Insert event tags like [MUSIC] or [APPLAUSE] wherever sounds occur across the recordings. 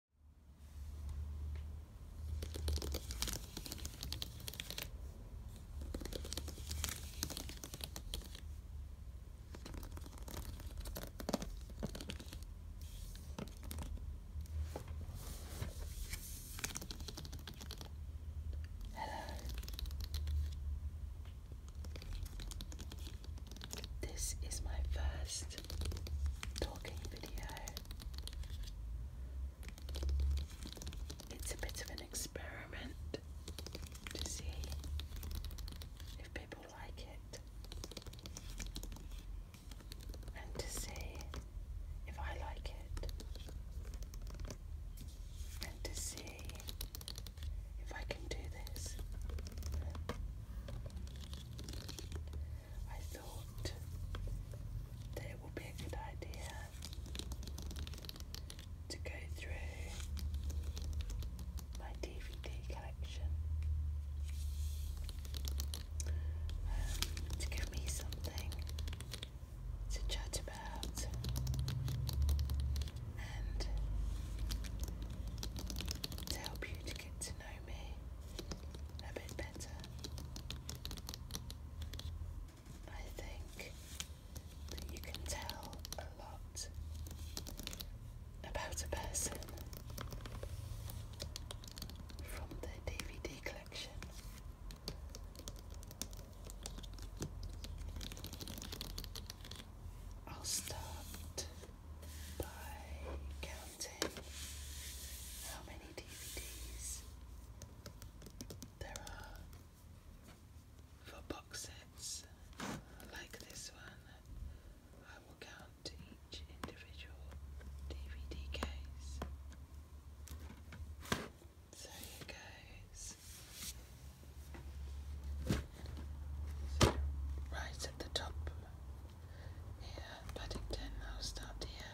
Hello. This is my first talking video. It's a bit of an experiment to see if people like it and to see if I like it and to see if I can do this. I thought that it would be a good idea to go through my DVD collection um, to give me something to chat about and to help you to get to know me a bit better. I think you can tell a lot about a person from their DVD collection. I'll start by counting how many DVDs there are for box sets like this one. I will count each individual DVD case. So here goes. right at the top here, Paddington, I'll start here.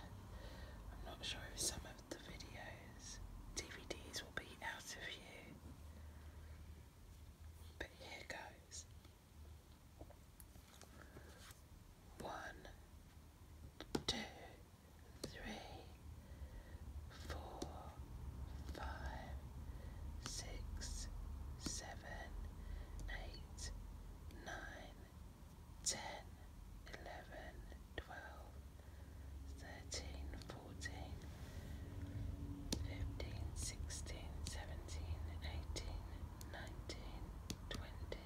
I'm not sure if some of the videos, DVDs will be out of view. But here goes. One, two, three, four, five, six, seven, eight, nine, 10, 11, 12, 13, 14, 15, 16, 17, 18, 19, 20,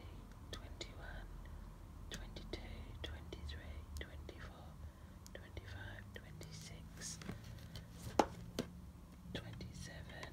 21, 22, 23, 24, 25, 26, 27,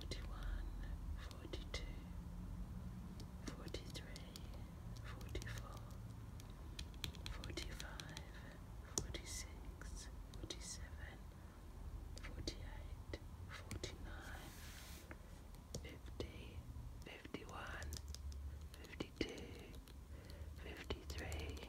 41, 42, 43, 44, 45, 46, 47, 48, 49, 50, 51, 52, 53,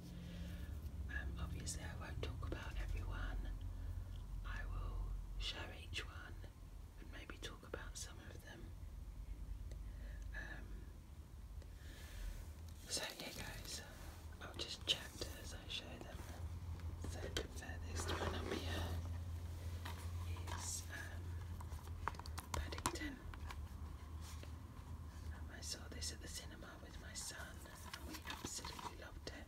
Um, obviously, I won't talk about everyone. I will show each one and maybe talk about some of them. Um, so yeah, guys, I'll just chapter as I show them. So the one up here is um, Paddington. I saw this at the cinema with my son, and we absolutely loved it.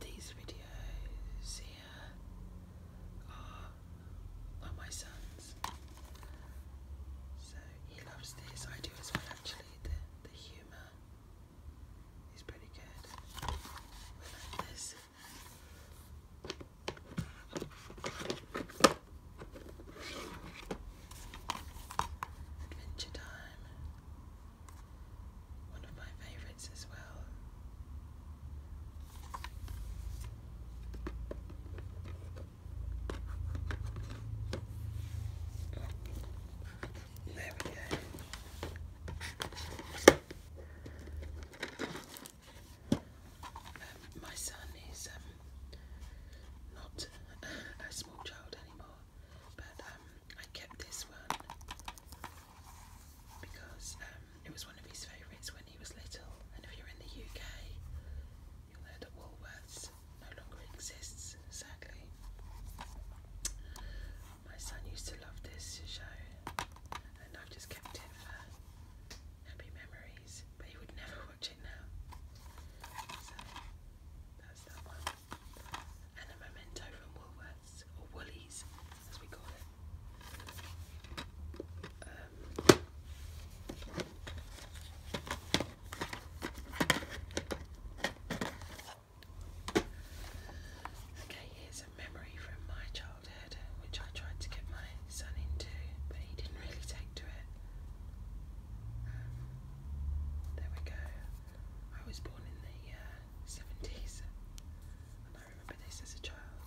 these videos here are are my son's. So he loves this. I do as well actually. The the humour is pretty good. We like this. Adventure time. One of my favourites as well. There we go. Um, my son is um, not a small child anymore, but um, I kept this one because um, it was one of his favourites when he was little. And if you're in the UK, you'll know that Woolworths no longer exists, sadly. My son used to love this show, and I've just kept it for happy memories, but he would never [LAUGHS] watch it now. So that's that one. And a memento from Woolworths or woolies um, okay, here's a memory from my childhood which I tried to get my son into, but he didn't really take to it. Um, there we go. I was born in the 70s uh, and I remember this as a child.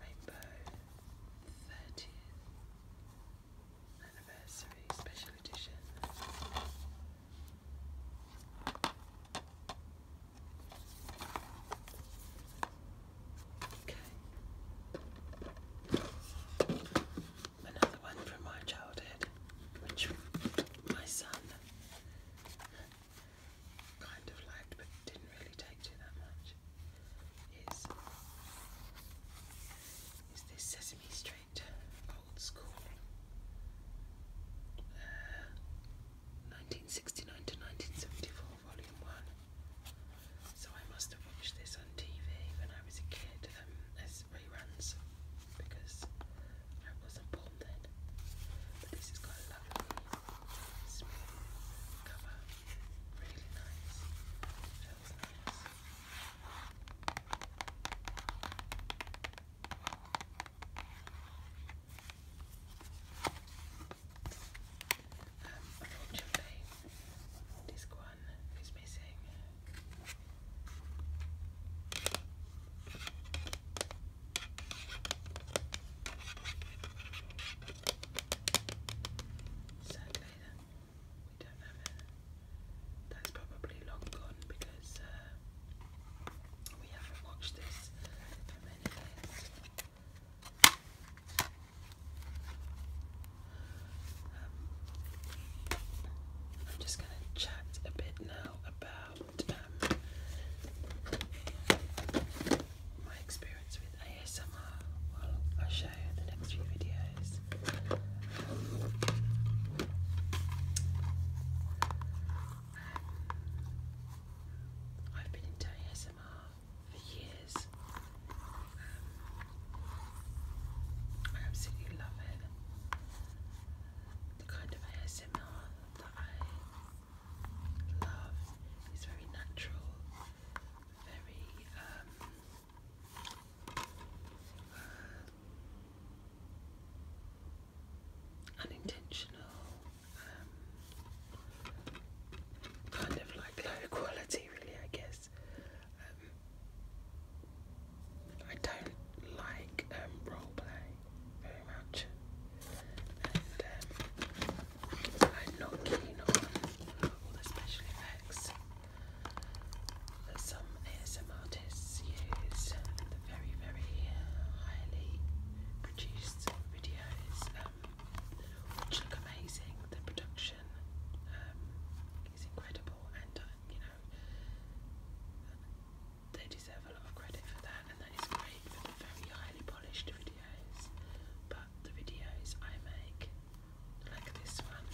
Rainbow 30th Anniversary Special Edition. Okay. Another one from my childhood, which my son kind of liked but didn't really take to that much is, this Sesame Street Old School 1969 uh, to 1974 Volume 1. So I must have watched this on TV when I was a kid um, these reruns because I wasn't born then. But this has got a lovely smooth cover, really nice. Feels nice. Um, unfortunately, this one is missing. Sadly, we don't have it. That's probably long gone because uh, we haven't watched this for many years. Um, I'm just going to chat a bit now about my experience with ASMR. Well, I'll show you the next few videos. Um, I've been into ASMR for years. Um, I absolutely love it. The kind of ASMR that I love. It's very natural, very um, unintentional, um, kind of like low quality, really, I guess. Um, I don't like um, role play very much, and um, I'm not keen on all the special effects that some ASM artists use. The very, very highly produced videos, um, which look amazing. The production is incredible, and uh, you know they deserve a lot of credit for that, and that is great for the very highly polished videos. But the videos I make, like this one,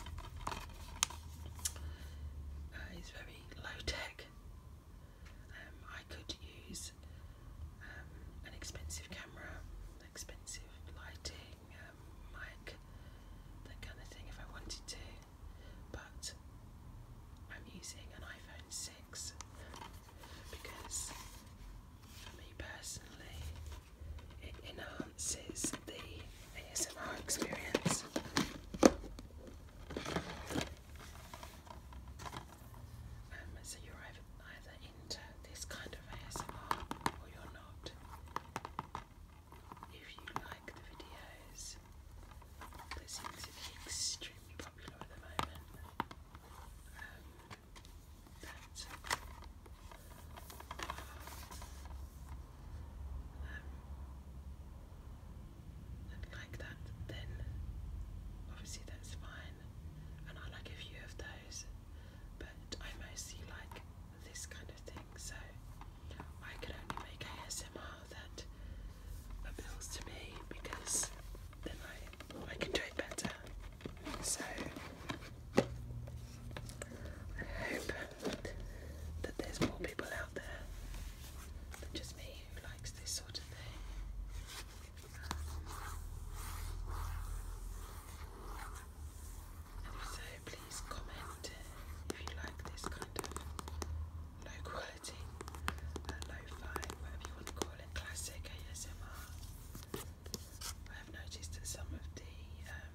uh, is very low tech. Um, I could use um, an expensive camera, expensive lighting, um, mic, that kind of thing if I wanted to but I'm using an iPhone 6 because for me personally it enhances the ASMR experience. Um, so you're either into this kind of ASMR or you're not. If you like the videos these. They extremely popular at the moment. Um, um like that, then obviously that's fine. And I like a few of those, but I mostly like this kind of thing, so I could only make ASMR that appeals to me because then I I can do it better. So I hope that there's more people out there than just me who likes this sort of thing. And so, please comment if you like this kind of local quality, uh, whatever you want to call it, classic ASMR. I have noticed that some of the um,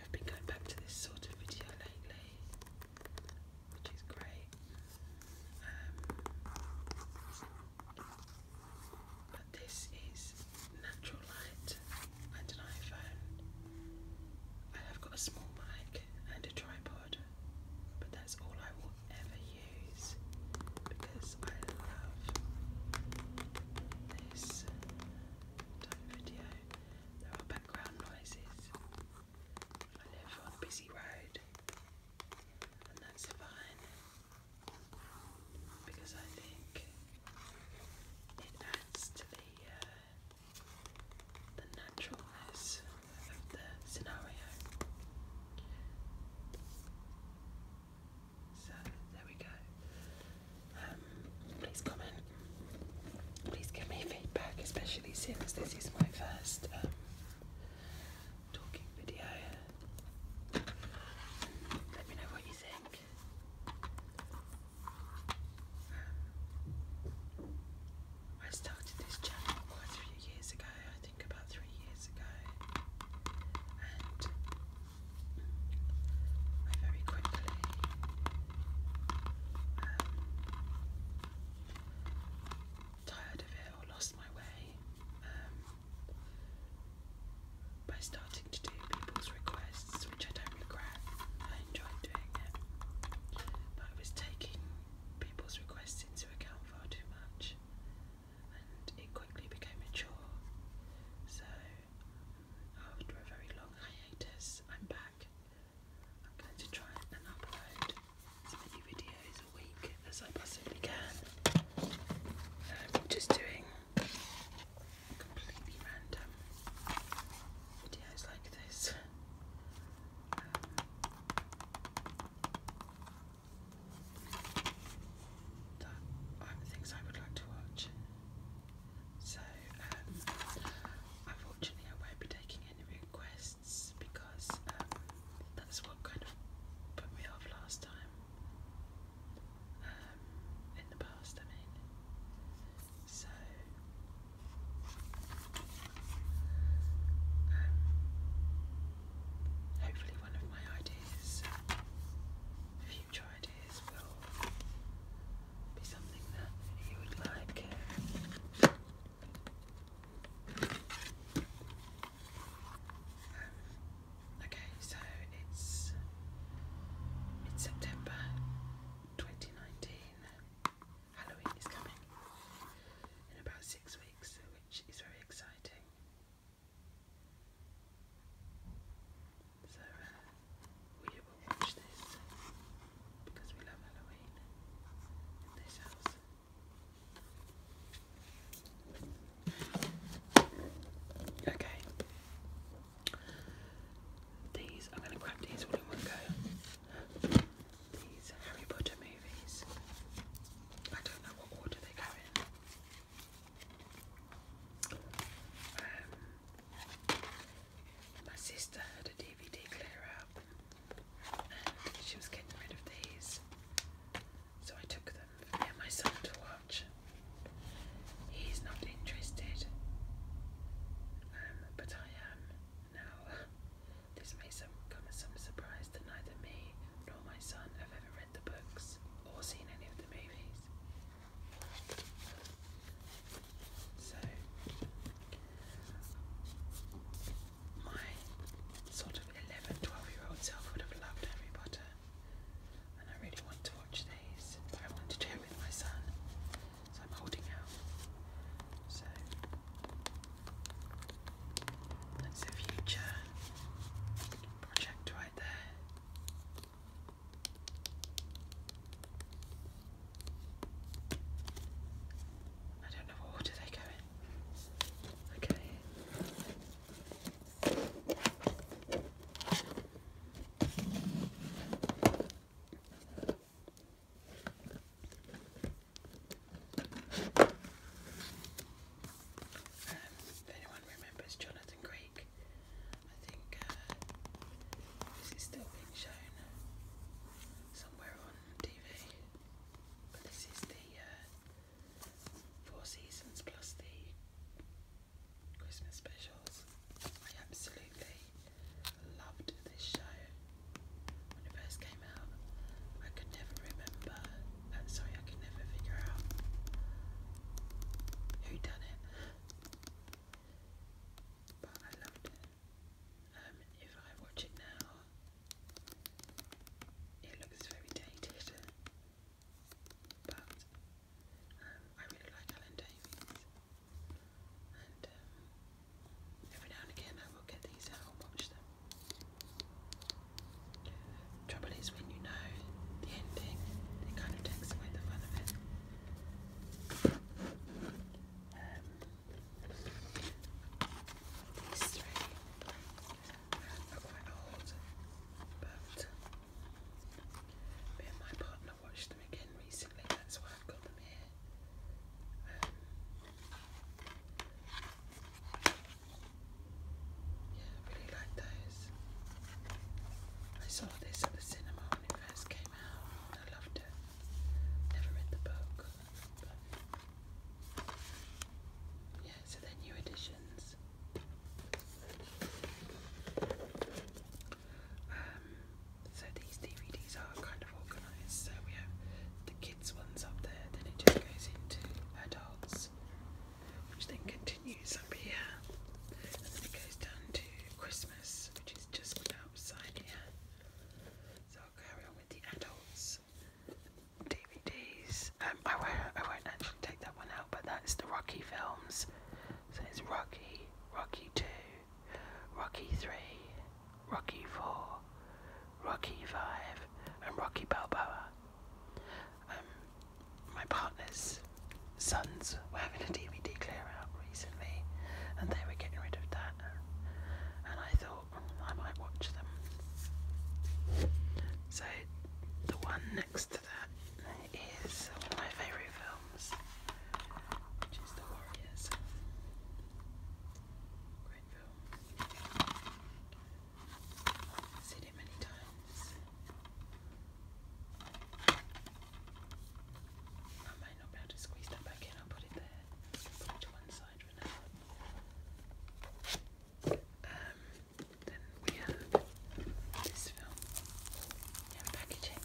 have been going back to this sort of video lately, which is great. Um, but this is natural light. I don't I have got a small mic and a tripod, but that's all I will ever use because I love this type of video. There are background noises. I live on a busy road, and that's fine because I think it adds to the uh, the naturalness of the scenario. So there we go. Um, please comment. Please give me feedback, especially since this is my first um, talking video. Let me know what you think. I started this channel quite a few years ago, I think about three years ago, and very quickly um, tired of it or lost my way um, by starting to do people's requests which I don't regret. I enjoyed doing it. But I was taking people's requests into account far too much and it quickly became a chore. So after a very long hiatus, I'm back. I'm going to try and upload as many videos a week as I possibly can. Um, just doing completely random videos like this the things I would like to watch. So, um, unfortunately, I won't be taking any requests because um, that's what kind of put me off last time. Um, in the past, I mean. So, um, hopefully, one of my ideas, future ideas, will be something that you would like. Um, okay, so it's it's September 2019. Halloween is coming in about six weeks, which is very exciting. So uh, we will watch this because we love Halloween in this house. Okay. These, I'm gonna grab these all in one go. These Harry Potter movies. I don't know what order they go in. Um, my sister had a DVD clear up and she was getting rid of these. So I took them for my son to watch. He's not interested, um, but I am. Now, this may come as some surprise to neither me nor my son have ever read the books or seen any of the movies. So, my sort of 11, year old self would have loved Harry Potter, and I really want to watch these, I want to do it with my son. So I'm holding out. So that's the future project right there. I don't know what order they go in. Okay. Um, if anyone remembers Jonathan Creek, I think this uh, is still being shown somewhere on TV. But this is the uh, Four Seasons plus the Christmas specials. I absolutely loved this show when it first came out. I could never remember, uh, sorry, I could never figure out who done it, but I loved it. Um, if I watch it now, it looks very dated, but um, I really like Alan Davies. And um, every now and again I will get these out and watch them. Trouble is when you know the ending, it kind of takes away the fun of it. Um, these three are quite old, but I watched them again recently, that's why I've got them here. Um, yeah, really like those. I saw this at the cinema when it first came out I loved it. Never read the book. yeah, so they're new editions. Um, so these DVDs are kind of organised. So we have the kids ones up there, then it just goes into adults, which then continues up here, and then it goes down to Christmas, which is just outside here. So I'll carry on with the adults DVDs. Um, I won't, I won't actually take that one out, but that's the Rocky films. So it's Rocky, Rocky Two. Rocky 3, Rocky 4, Rocky 5, and Rocky Balboa. Um, my partner's sons were having a DVD clear out recently, and they were getting rid of that, and I thought hmm, I might watch them. So, the one next to that is my favourite films. Kings, which is the Warriors. Great film. seen it many times. I might not be able to squeeze that back in, i put it there. to one side for now. Um, then we have this film. packaging.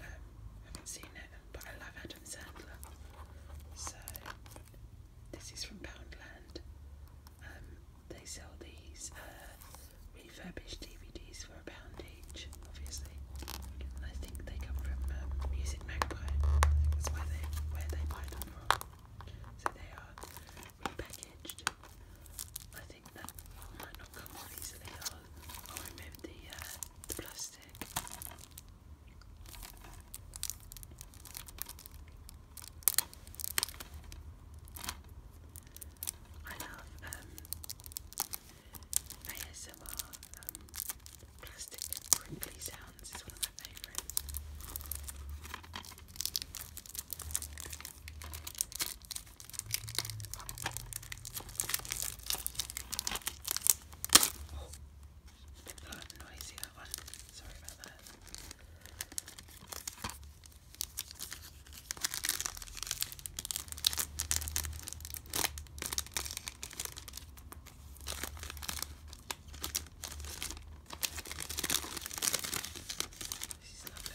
Um, haven't seen it but I love Adam Sandler. So this is from Poundland. Um, they sell these uh, refurbished DVDs for a pound each, obviously. I think they come from um, Music Magpie. That's where they where they buy them from. So they are repackaged. I think that might not come off easily. I'll, remove the uh, the plus plastic. I love um, ASMR um, plastic crinkly sounds, it's one of my favourites. Oh, not noisy that one. Sorry about that. This is lovely.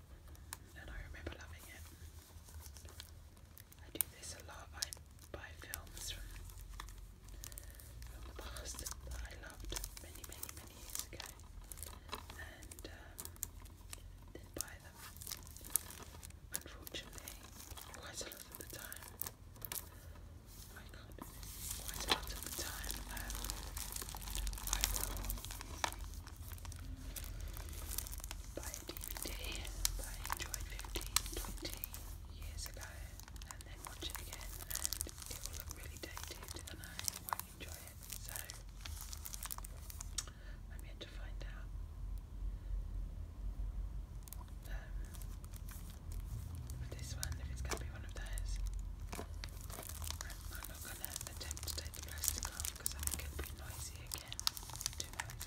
and I remember loving it. I do this a lot. I buy films from the past that I loved many, many, many years ago, and um, then buy them. Unfortunately, quite a lot of the time, I can't. Quite a lot of the time, um, I will by a DVD that I enjoyed years ago and then watch it again and it will look really dated and I won't enjoy it. So I'm yet to find out. Um, this one, if it's going to be one of those, gonna attempt to take the plastic off because I think it'd noisy again. Too noisy,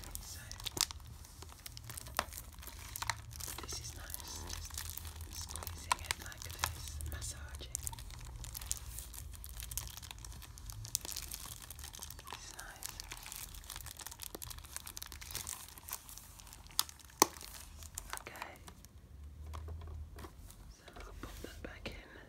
so this is nice, squeezing it like this, massaging. It's nice. Okay. So I'll pop that back in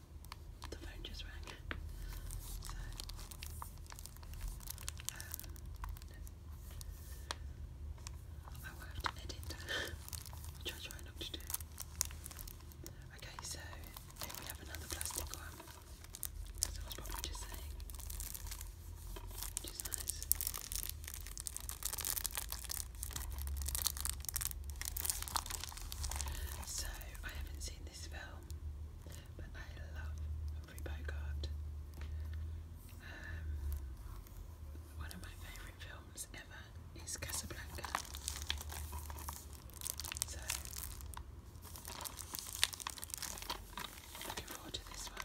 the phone just rang. So, um, I will to edit, to do. Okay, so we have another plastic one. As I was just saying, which is so, I haven't seen this film, but I love Humphrey Bogart. Um, one of my favourite films ever is Casablanca. So, looking forward to this one.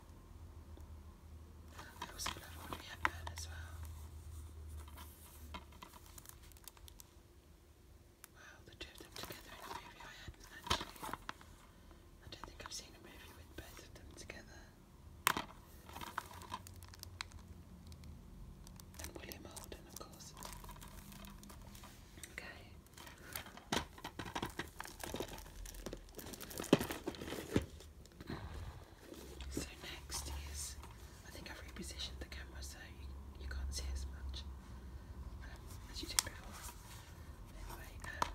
Wow, the two of them together in a movie I hadn't actually. I don't uh, think I've seen a movie with both of them together. And William Holden, of course. Okay. So next is, I think I've repositioned the camera so you, you can't see as much um, as you did before. Anyway, um,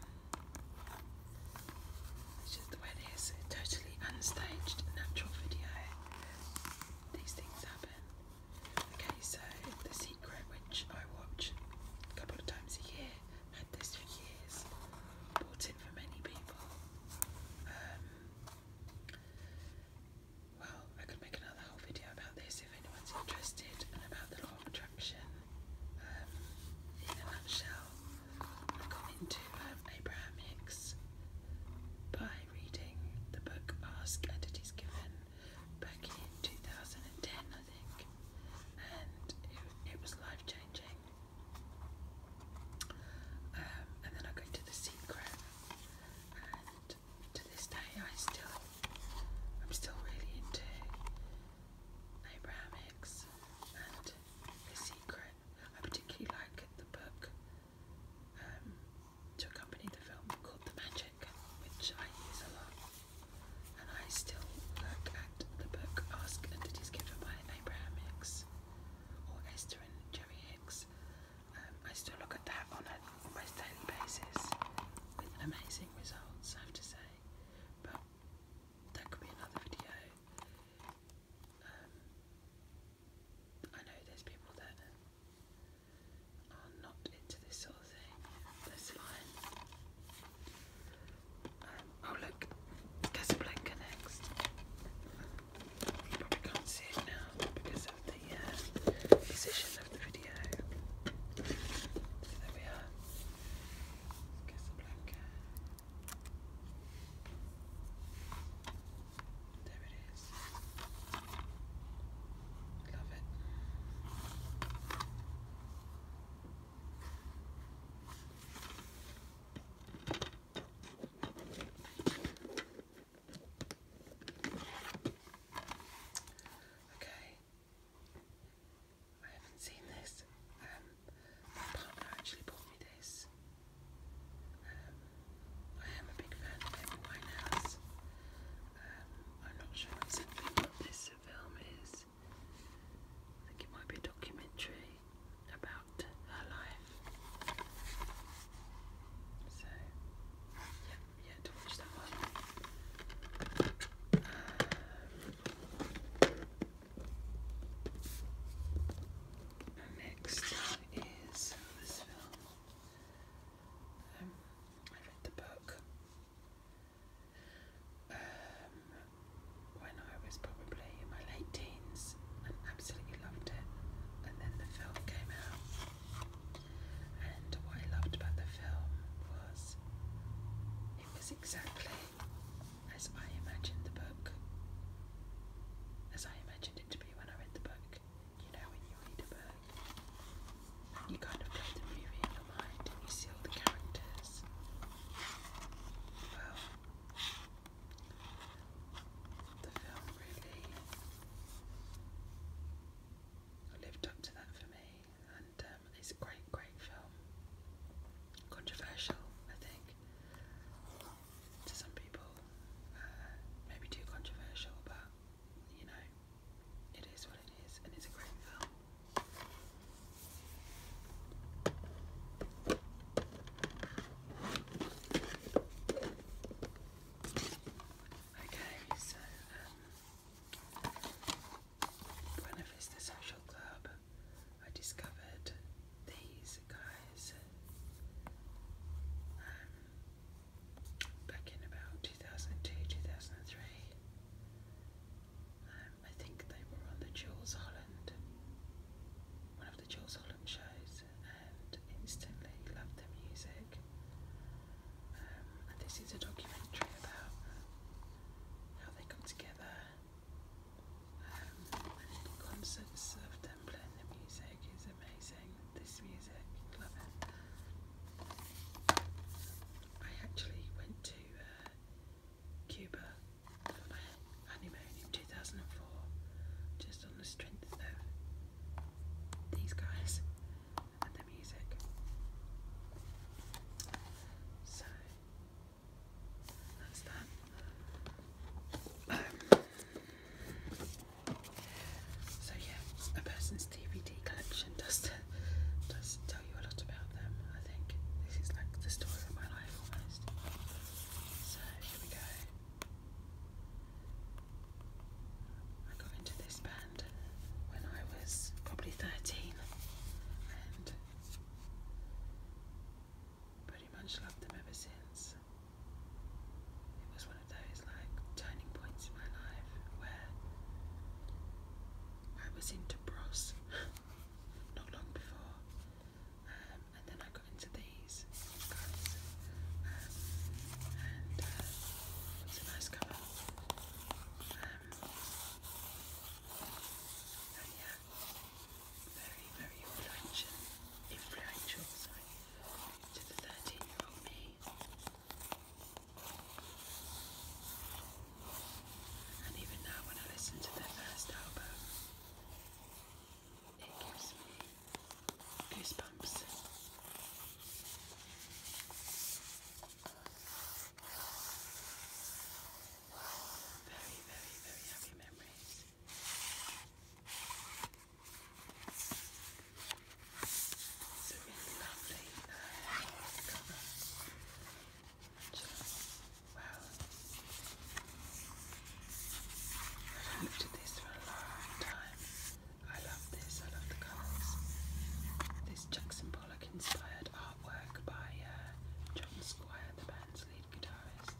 it's just the way it is. totally unstaged, natural video. These things happen. Okay, so The Secret, which I watch a couple of times a year, had this for years, bought it for many people. Um, well, I could make another whole video about this if anyone's interested and about the law of attraction. Um, in a nutshell, I got into um, Abraham Hicks by reading the book Ask Entities Given back in 2010, I think, and it was life changing. Um, and then I go to The Secret, and to this day I still, I'm still really into Abraham Hicks and The Secret. I particularly like the book um, to accompany the film called The Magic, which I use a lot, and I still work. at fact, the book asks entities given by Abraham Hicks or Esther and Jerry Hicks. Um, I still look at that on an almost daily basis with amazing results, I have to say. But that could be another video. Um, I know there's people that are not into this sort of thing. That's fine oh look, Casablanca next. You probably can't see it now because of the uh, position of the video. there we are. Casablanca. There it is. Love it. Okay. I haven't seen this. Um, my partner actually bought me this. Um, I am a big fan of Amy Winehouse. Um, I'm not sure what this film is. it might be a documentary about her life. So, yeah, yeah, to watch that one. Um, next is this film. Um, I read the book. Um, when I was probably in my late teens and absolutely loved it. And then the film came out, and what I loved about the film was it was exactly as I imagined the book, as I imagined it to be when I read the book. You know, when you read a book, you kind of play the movie in your mind and you see all the characters. Well, the film really lived up to that for me, and um, it's a great, great film. Controversial, I think, to some people, uh, maybe too controversial, but you know, it is what it is, and it's a great film. Okay, so um, when I visited social club, I discovered these guys um, back in about 2002 2003. Um, I think they were on the Jules Holland, the Jules Holland shows and instantly loved the music. Um, and this is a documentary about how they come together um, and the concepts of them playing the music is amazing. This music, love it. I actually went to uh, Cuba honeymoon in 2004, just on the strength of these guys and the music. So that's that. Um, so yeah, a person's DVD collection does does tell you a lot about them. I think this is like the story of my life almost. So here we go. I got into this band when I was probably 13 and pretty much loved them ever since. It was one of those like turning points in my life where I was into bros [LAUGHS] not long before um, and then I got into these guys, and uh, it's a nice colour. Um, very very influential, influential to the 13 year old me. And even now, when I listen to their first album, it gives me goosebumps. Very, very, very happy memories. It's really lovely uh, cover. Wow. I have looked at this for a long time. I love this, I love the colours. This Jackson Pollock inspired artwork by uh, John Squire, the band's lead guitarist.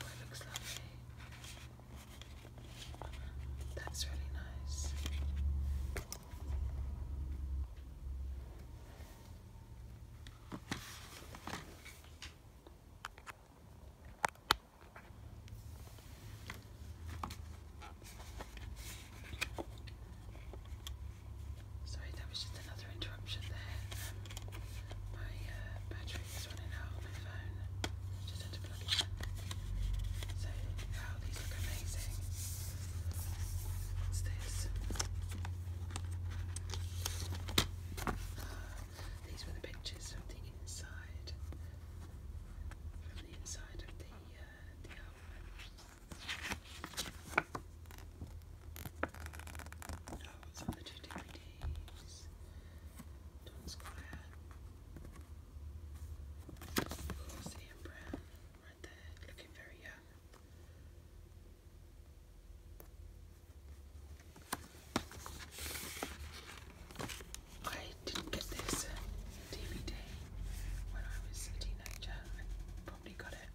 Oh, it looks lovely. That's really nice. Sorry, that was just another interruption there. Um, my uh, battery is running out on my phone. Just had to plug it in. So, these look amazing. What's this? These were the pictures of the inside, from the inside of the uh, the album. Oh, on the two DVDs. Don Square. Of course, Ian right there, looking very young. I didn't get this DVD when I was a teenager. I probably got it.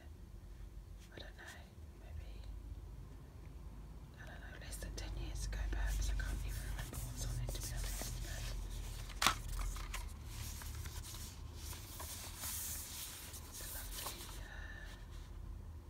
I don't know, maybe I don't know, less than ten years ago perhaps. I can't even remember what's on it it's a lovely uh,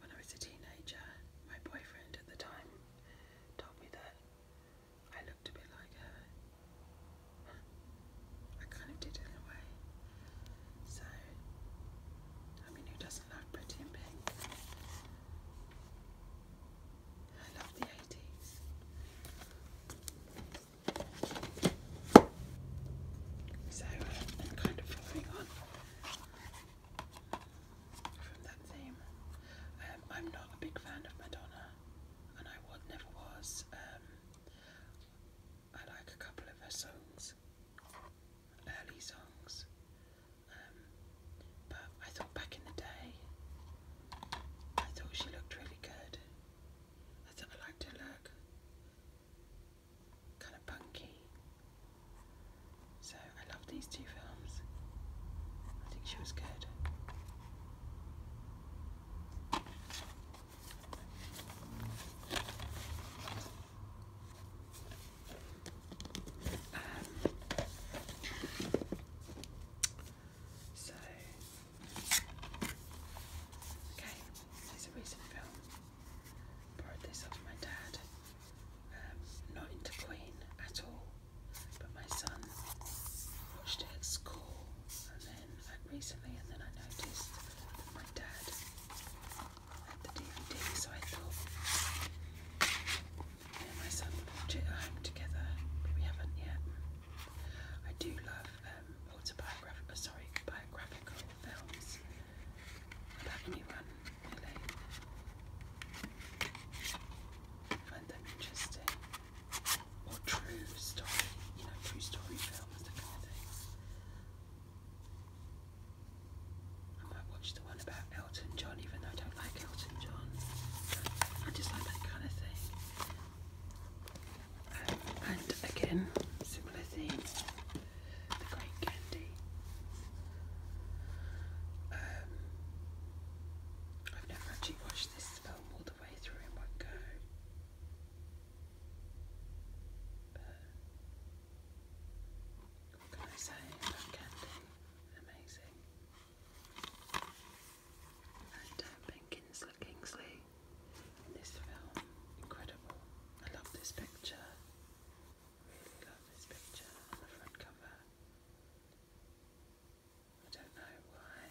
when I was a teenager, my boyfriend at the time told me that I looked a bit like her. I kind of did in a way. So, I mean, who doesn't love Pretty in Pink? I love the 80s. So, I'm kind of following on from that theme. Um, I'm not a big fan of Madonna, and I would never was. Um, I like a couple of her songs, early songs, um, but I thought back in the day, I thought she looked really good. I thought I liked her look, kind of punky. So I love these two films. I think she was good. Um, so, okay, this a recent film. Borrowed this off my dad um, not into Queen at all, but my son watched it at school and then like, recently, and then I noticed that my dad had the DVD, so I thought me and my son would watch it at home together, but we haven't yet. I do love um, autobiographical, uh, sorry, biographical films about anyone really. I find them interesting. Or true story, you know, true story films, that kind of thing. I might watch the one about Elton John, even though I don't like Elton John. I just like that kind of thing. Um, and again, similar theme the great candy. Um, I've never actually watched this film all the way through in one go. what can I say Amazing. And uh, Ben Kingsley this film, incredible. I love this picture. Love this picture on the front cover. I don't know why.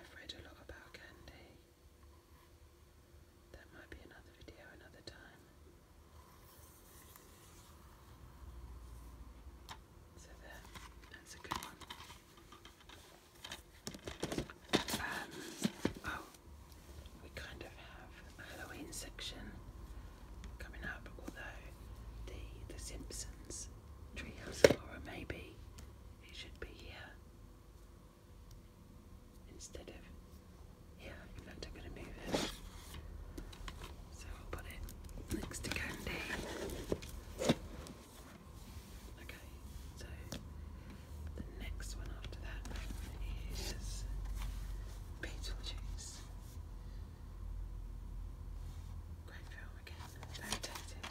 I've read a lot about candy. That might be another video another time. So there, that's a good one. Um, oh, we kind of have a Halloween section coming up, although the The Simpsons Treehouse of Horror maybe it should be here instead of here. In fact, I'm going to move it, so I'll put it next to Candy. Okay, so the uh, next one after that is Beetlejuice. Great film again, very dated.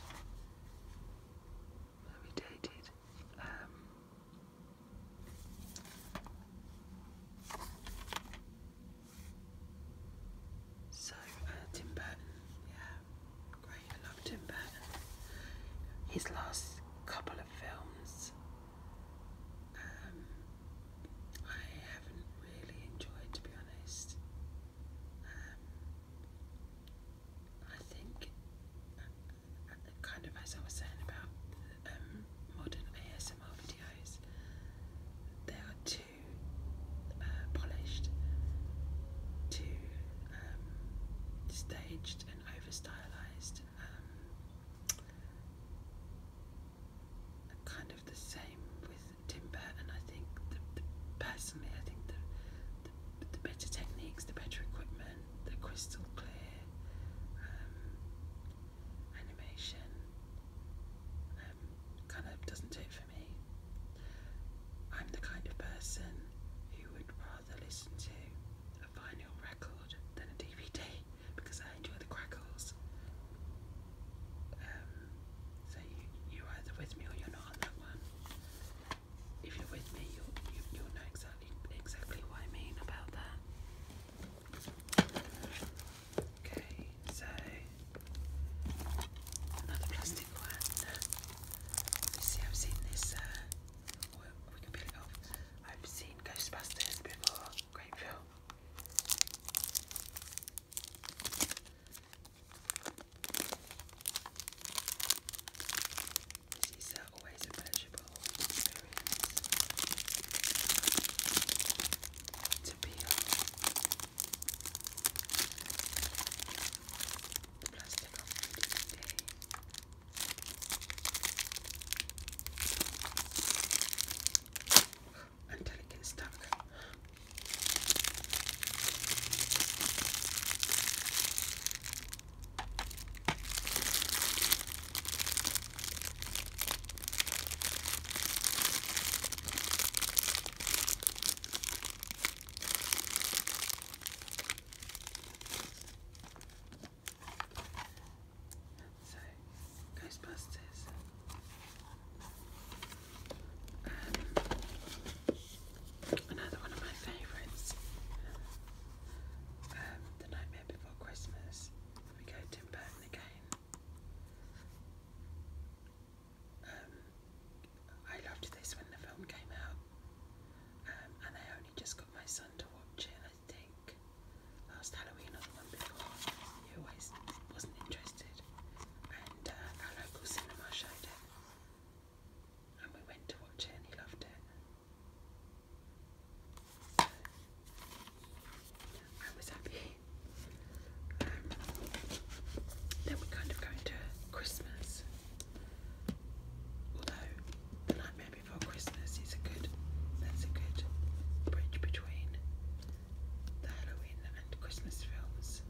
so, Tim Burton, yeah. Great, I loved him, but his last couple of films um, I haven't really enjoyed, to be honest. Um, I think, uh, kind of as I was saying about um, modern ASMR videos, they are too uh, polished, too um, staged and over stylized, um, kind of the same with Tim Burton. I think personally, I think the, the, better techniques, the better equipment, the crystal clear um, animation kind of doesn't do it for me. I'm the kind of person who would rather listen to a vinyl record than a DVD because I enjoy the crackles. Um, so you, you either with me or you're not on that one. If you're with me, you'll, you, you you know exactly exactly what I mean about that. Okay, so another plastic one see, I've seen this, uh, we can peel it off. I've seen Ghostbusters before. Great film. This is uh, always a pleasurable to peel plastic of today. Until it gets stuck. So, Ghostbusters. Um, another one of my favourites. Um, the Nightmare Before Christmas. we go Tim Burton again. Um, I loved this when the film came out, um, and I only just got my son to watch it. I think last Halloween or the one before. He always wasn't interested, and uh, our local cinema showed it, and we went to watch it, and he loved it. I was happy. Um, then we're kind of going to Christmas. Although The Nightmare Before Christmas is a good that's a good bridge between the Halloween and Christmas films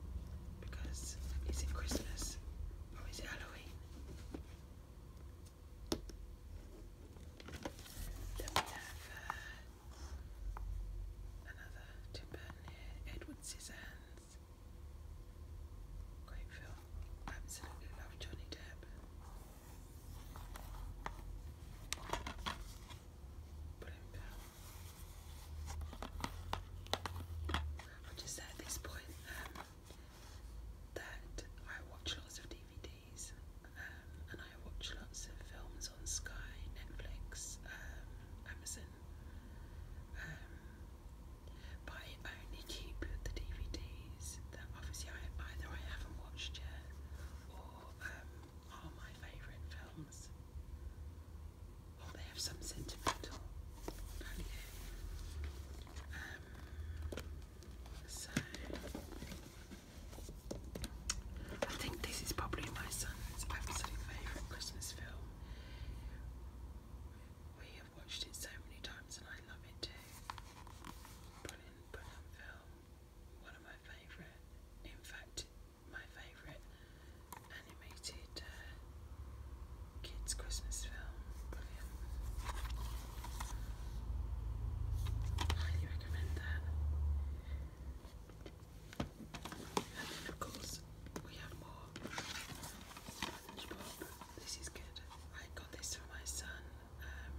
because is it Christmas or is it Halloween? Then we have uh, another Tim Burton Edward Scissorhands. Great film. Absolutely love Johnny Depp. Brilliant I'll just at this point um, that I watch lots of DVDs um, and I watch lots of films on Sky, Netflix, um, Amazon but I only keep the DVDs that obviously either I haven't watched yet or um, are my favourite films. Or they have some sentimental value. Um, so, I think this is probably my son's absolute favourite Christmas film. I've watched it so many times and I love it too. Brilliant, brilliant film. One of my favourite, in fact, my favourite animated uh, kids' Christmas film. Highly recommend that. And then, of course, we have more this is good. I got this for my son. Um,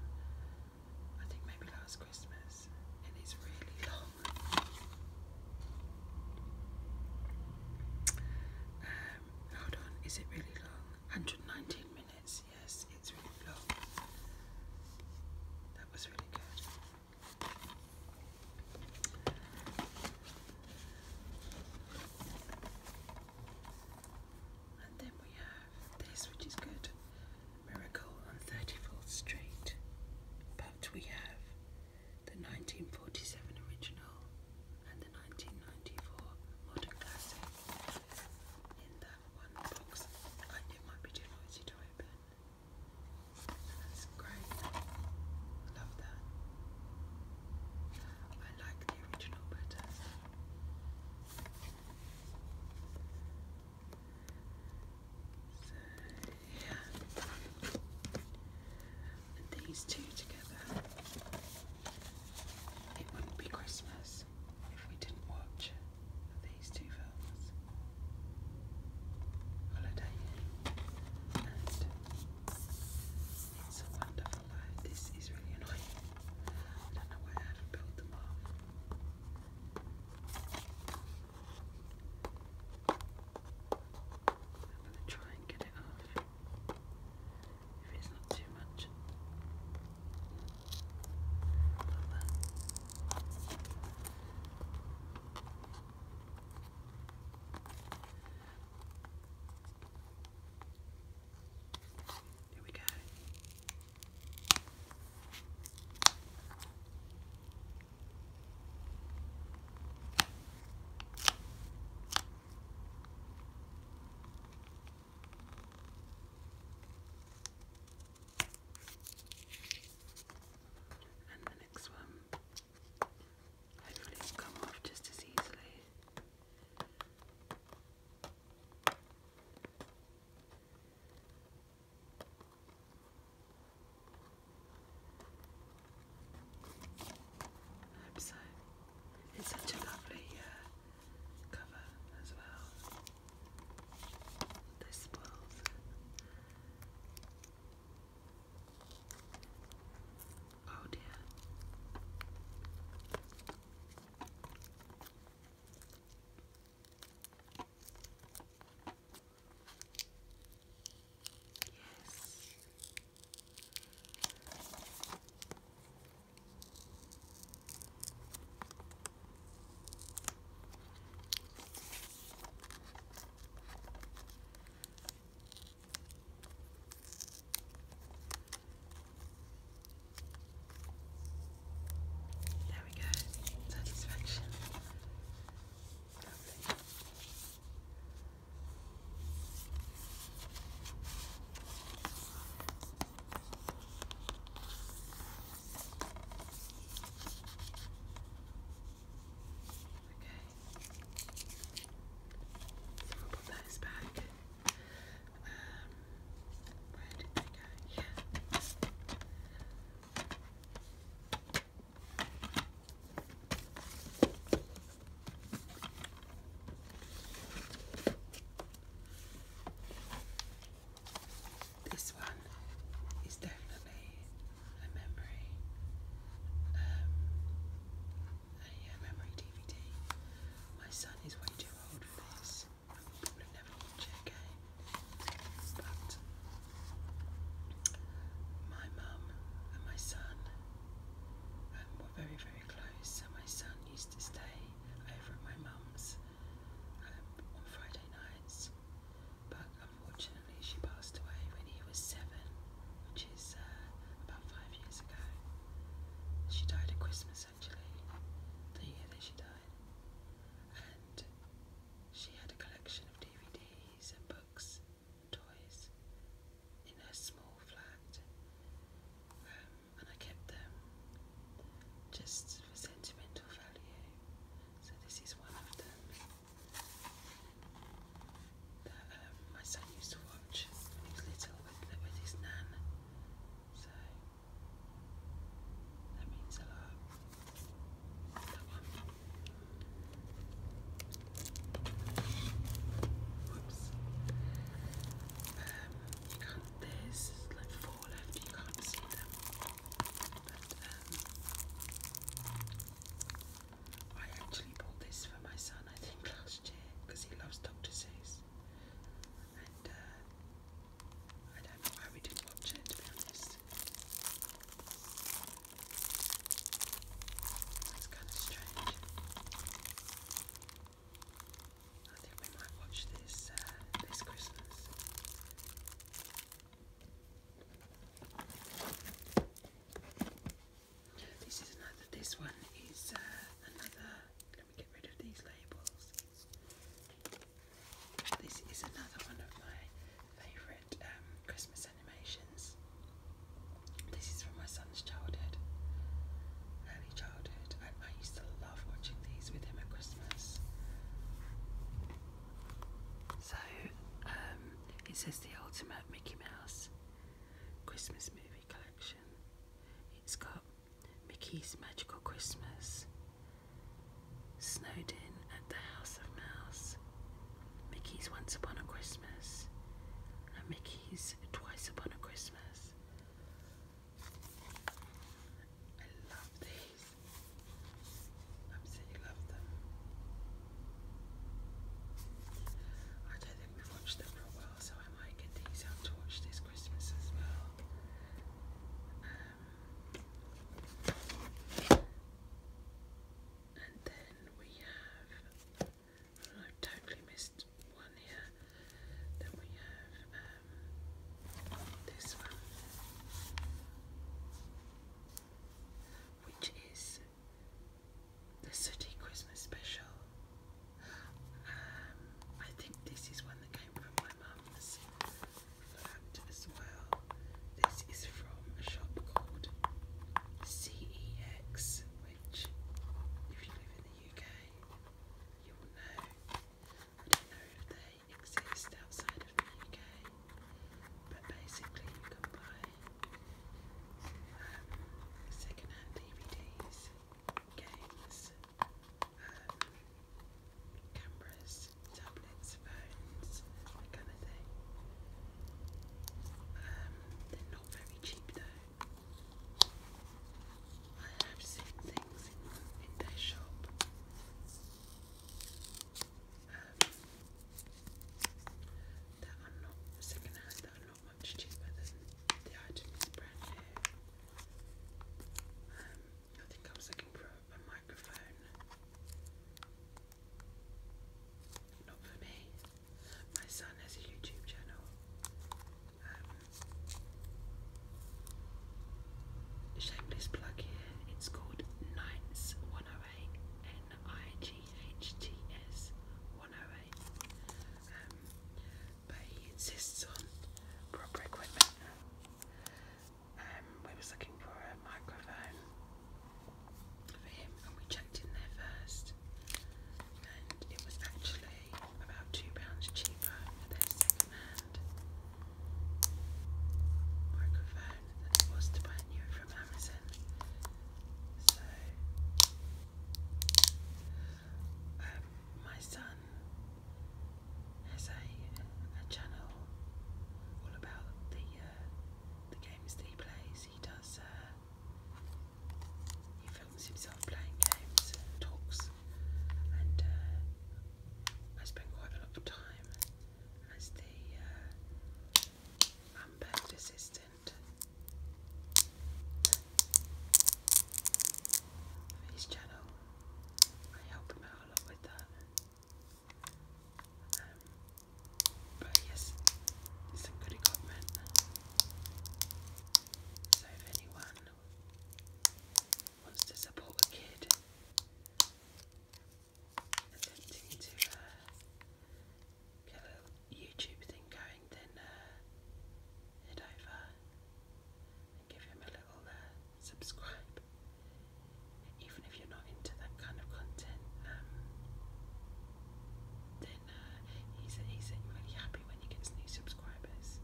I think maybe last Christmas, and it's really long. Um, hold on, is it really long? 119 minutes. Yes, it's really long. That was really good. And then we have this, which is good Miracle on 34th Street. But we have the 1947 original and the 1994 modern classic in that one box. it might be too noisy to open. That's great. Love that. I like the original better. So, yeah. these two together. It wouldn't be Christmas if we didn't watch these two films Holiday and it's a wonderful life. This is really annoying. I don't know why I built them off. I'm going to try and get it off if it's not too much. There we go. And the next one, hopefully, will come off just as easily. I'm so it's such a lovely uh, cover as well. This spoils. Oh dear. Yes. There we go. Satisfaction. Okay. So we'll put those back. Um, This one is definitely a memory. Um, a memory DVD. My son is way too old for this. I will probably never watch But my mum and my son um, were very, very close. So my son used to stay over at my mum's um, on Friday nights. But unfortunately, she passed away when he was seven. Uh, about five years ago. She died at Christmas actually, the year that she died. And she had a collection of DVDs and books, and toys in her small flat. Um, and I kept them just for sentimental value. So this is one of them that um, my son used to watch when he was little with, with his nan. So that means a lot. That one. Whoops. Um, you can't, there's like four left, you can't see them. But um, I actually bought this for my son, I think, last because he loves Doctor Seuss. And uh, I don't know why we didn't watch it to kind of strange. I think we might watch this uh, this Christmas. This is another. This one is uh, another. Let me get rid of these labels. This is another one of my favourite um, Christmas animations. This is from my son's childhood, early childhood. I, I used to love watching these with him at Christmas. So um, it says the ultimate Mickey Mouse Christmas movie collection. It's got Mickey's Magical Christmas, Snowden at the House of Mouse, Mickey's Once Upon a Christmas, and Mickey's Twice Upon a Christmas. I love these. Absolutely love them. I don't think we've watched them for a while so I might get these out to this Christmas as well. Um, and then we have, I've totally missed one here. Then we have um, this one, which is the City Christmas Special. Um, I think this is one that came from my mum's flat as well. This is from a shop called CEX, which, if you live in the UK, you will know. I don't know if they exist outside of the UK, but basically, you can buy um, second hand DVDs games, um, cameras, tablets, phones, kind of thing. Um, they're not very cheap though. I have seen things in, in their shop. Um, that are not second hand, much cheaper than the items brand new. Um, I think I was looking for a microphone. Not for me. My son has a YouTube channel. Um, shameless plug here. It's called Nights 108. N I G H T S 108. Um, but he insists on proper equipment. Um, we was looking for a microphone for him, and we checked in there first, and it was actually about two pounds cheaper for their second-hand microphone than it was to buy new from Amazon. So. Um, my son has a, channel all about the uh, the games that he plays. He does. Uh, he films himself playing games and talks, and uh, I spend quite a lot of time as the uh, assistant on his channel. I help him out a lot with that. Um, but yes, it's some good equipment. So if anyone wants to support a kid attempting to uh, get YouTube thing going, then uh, head over give him a little uh, subscribe. Even if you're not into that kind of content, um, then uh, he's, he's really happy when he gets new subscribers.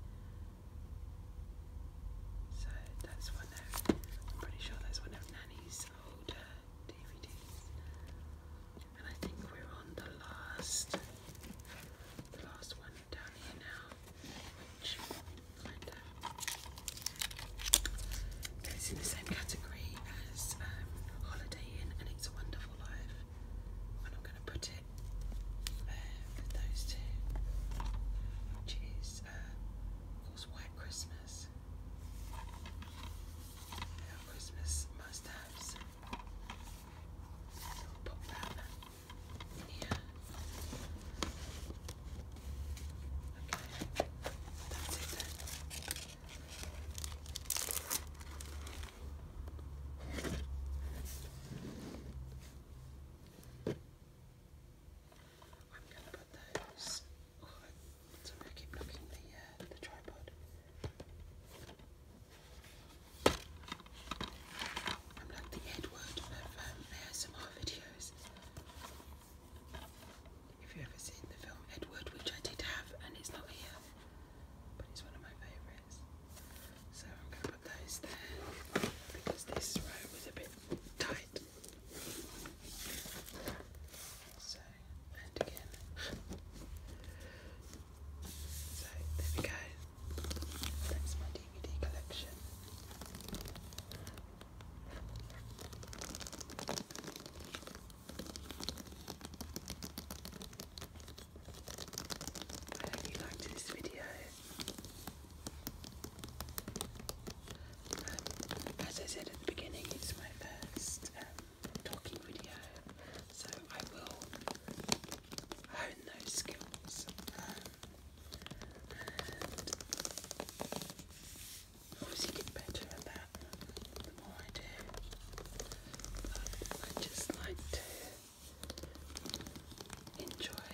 So that's one I'm pretty sure that's one of Nanny's older DVDs. And I think we're on the last, the last one down here now, which goes in the same category as um, Holiday Inn and It's a Wonderful Life. And I'm going to put it there uh, with those two, which is, uh, of course, White Christmas. Christmas must-haves so we'll put that in here. Okay, that's it then. I'm going to put those. Oh, sorry, I keep knocking the, uh, the tripod. I'm like the Edward of um, ASMR videos. If you ever seen the film Edward, which I did have, and it's not here, but it's one of my favourites. So I'm going to put those there because this row was a bit tight. So, and again. So there we go. That's my DVD collection. I hope you liked this video. Um, as I said at the beginning, it's my first um, talking video. So I will hone those skills obviously get better at that the more I do. But I just like to enjoy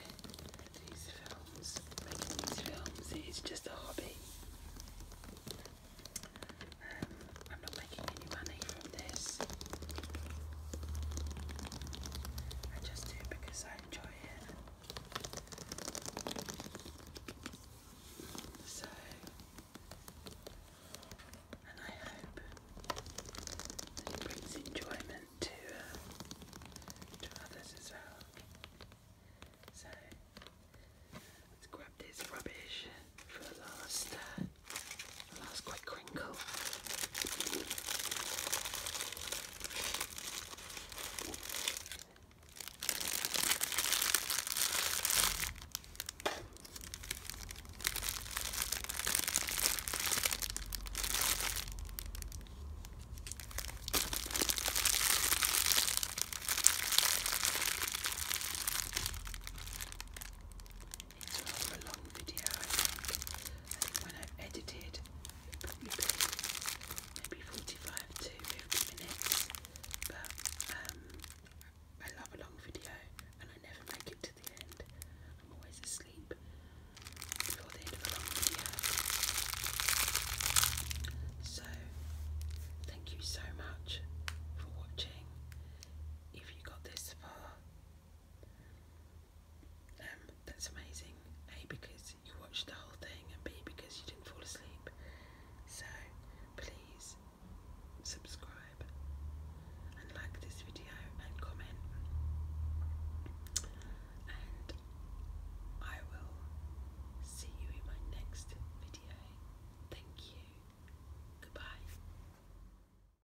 these films. Making these films is just a hobby. Um, not making any money from this. I just do because I enjoy it. So, and I hope that it brings enjoyment to, uh, others as well. So, let's grab this rubbish for last. Uh, one. That was quite crinkle it's a long video I think when I edited it probably be maybe 45 to 50 minutes but um, I love a long video and I never make it to the end I'm always asleep before the end of a long video so thank you so much for watching if you got this far um, that's amazing. A because you watched the whole thing, and B because you didn't fall asleep. So please subscribe and like this video and comment. And I will see you in my next video. Thank you. Goodbye.